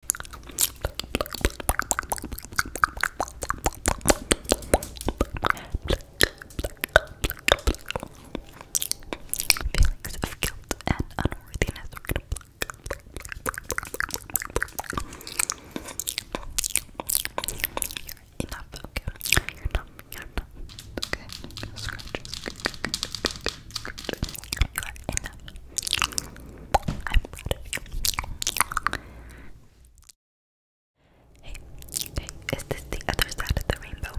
Feelings of guilt and unworthiness. You're enough, You're enough, You are enough i Hey, is this the other side of the rainbow?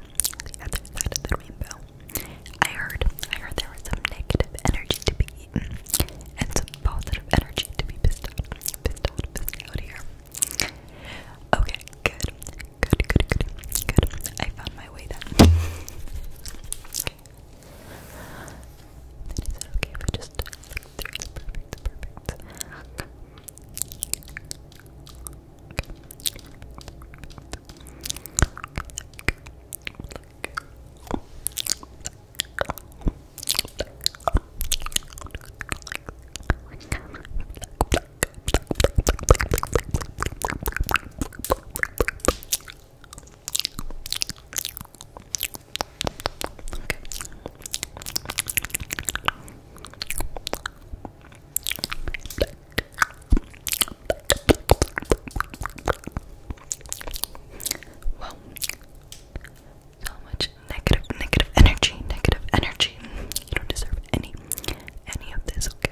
The other side of the rainbow. I heard, I heard there was some negative energy to be eaten and some positive energy to be pissed out, pissed out, pissed out here. Okay, good, good, good, good, good. I found my way then okay? Then is it okay if I just look through the perfect, the perfect? Okay. Look. Okay. so much negative, negative energy, negative energy. You don't deserve any, any of this. Okay,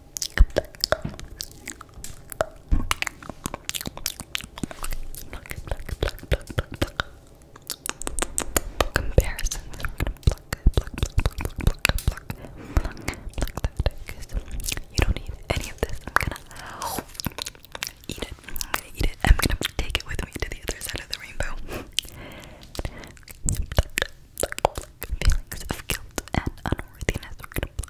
Comparisons. you don't need any of this. I'm gonna eat it. I'm gonna eat it. I'm gonna take it with me to the other side of the rainbow. Feelings of guilt and unworthiness.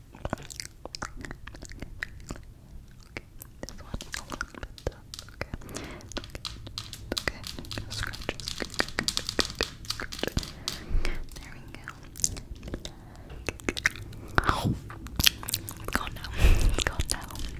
Okay, this one a little bit okay. Okay, okay, scratches. There we go. Oh, it's gone now. It's gone now. Okay.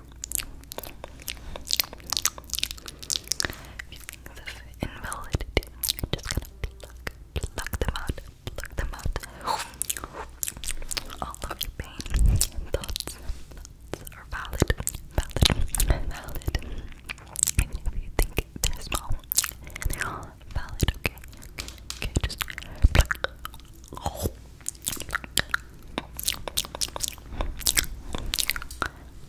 Feelings of invalidity. just gonna pluck, pluck them out, pluck them out. All of your pain, thoughts, thoughts are valid, valid, valid. Even if you think they're small, they're all valid. Okay, okay, just pluck.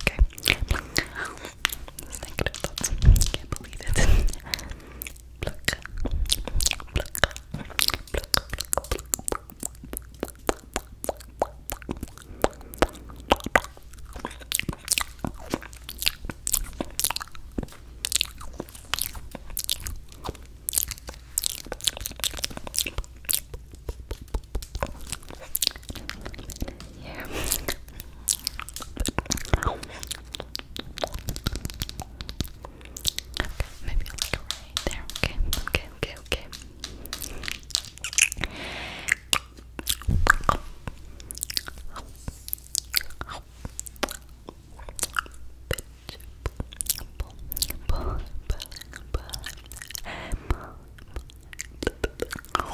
okay? Those negative Can't believe it. Pluck. Pluck. Pluck. Yeah. Okay, maybe like right there. Okay, okay, okay, okay.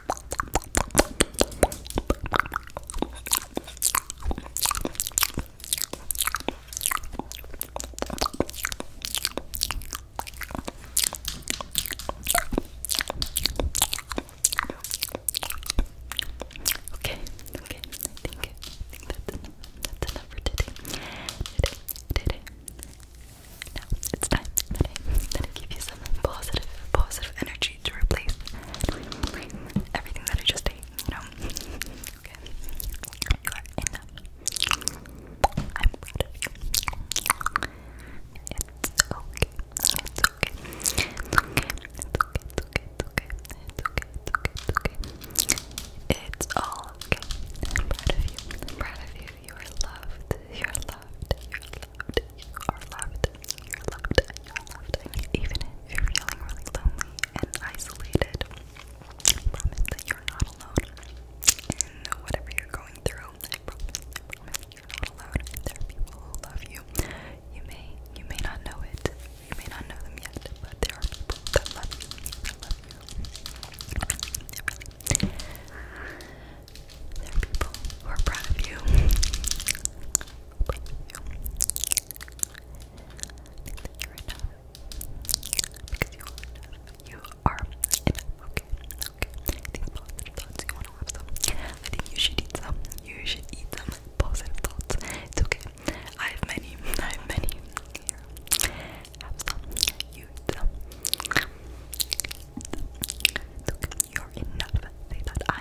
Okay, okay, I think, I think that's, enough for today. Today, today. Now it's time that I, that give you some positive, positive energy to replace everything that I just ate, you It's okay. It's okay. It's okay. It's okay. It's okay. It's okay. It's okay. It's okay. It's all okay. I'm proud of you. proud of you. You are loved. You are loved you are loved, you're loved, you're loved. even if you're feeling really lonely and isolated, I promise that you're not alone in whatever you're going through. I promise, you're not alone. There are people who love you. You may, you may not know it. You may not know them yet, but there are people that love you. There are people who are proud of you. I think you're enough. Because you are enough. Okay. These positive thoughts, you wanna have some. I think you should eat some. You should eat some positive thoughts. It's okay. I have many. I have many. Here. Have some. eat some. okay. You're enough. Say that.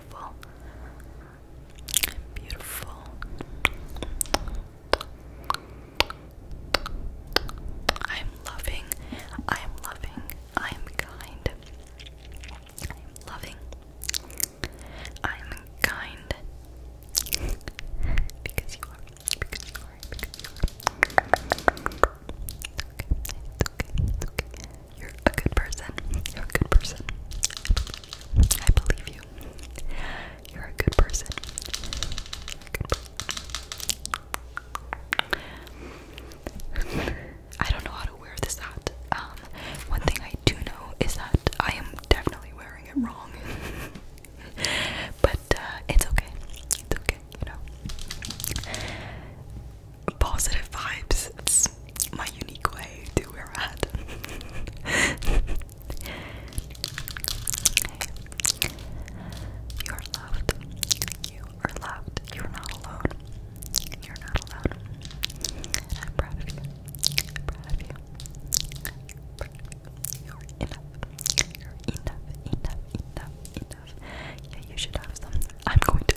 beautiful. Beautiful. I'm loving. I'm loving. I'm kind. I'm loving. I'm kind. because you are. Because you are. Because you are. It's okay. It's okay. It's okay. You're a good person. You're a good person. I believe you. You're a good person. Good person. I don't know how to wear this hat. Um, one thing I do know is that I am definitely wearing it wrong. but uh, it's okay. It's okay, you know positive vibes. It's my unique way to wear a hat. You're loved. You are loved. You're not alone. You're not alone. I'm I'm proud of you. I'm proud of you. You're enough. You're enough, enough, enough, enough. Yeah, you should have some. I'm going to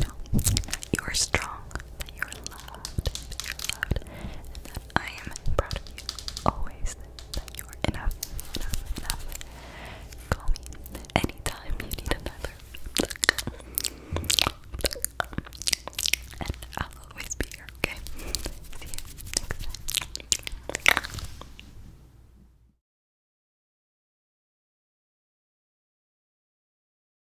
know you are strong, that you are loved, that you are loved, that I am proud of you always, that you are enough, enough, enough. Call me anytime you need another. And I'll always be here, okay? See you next time.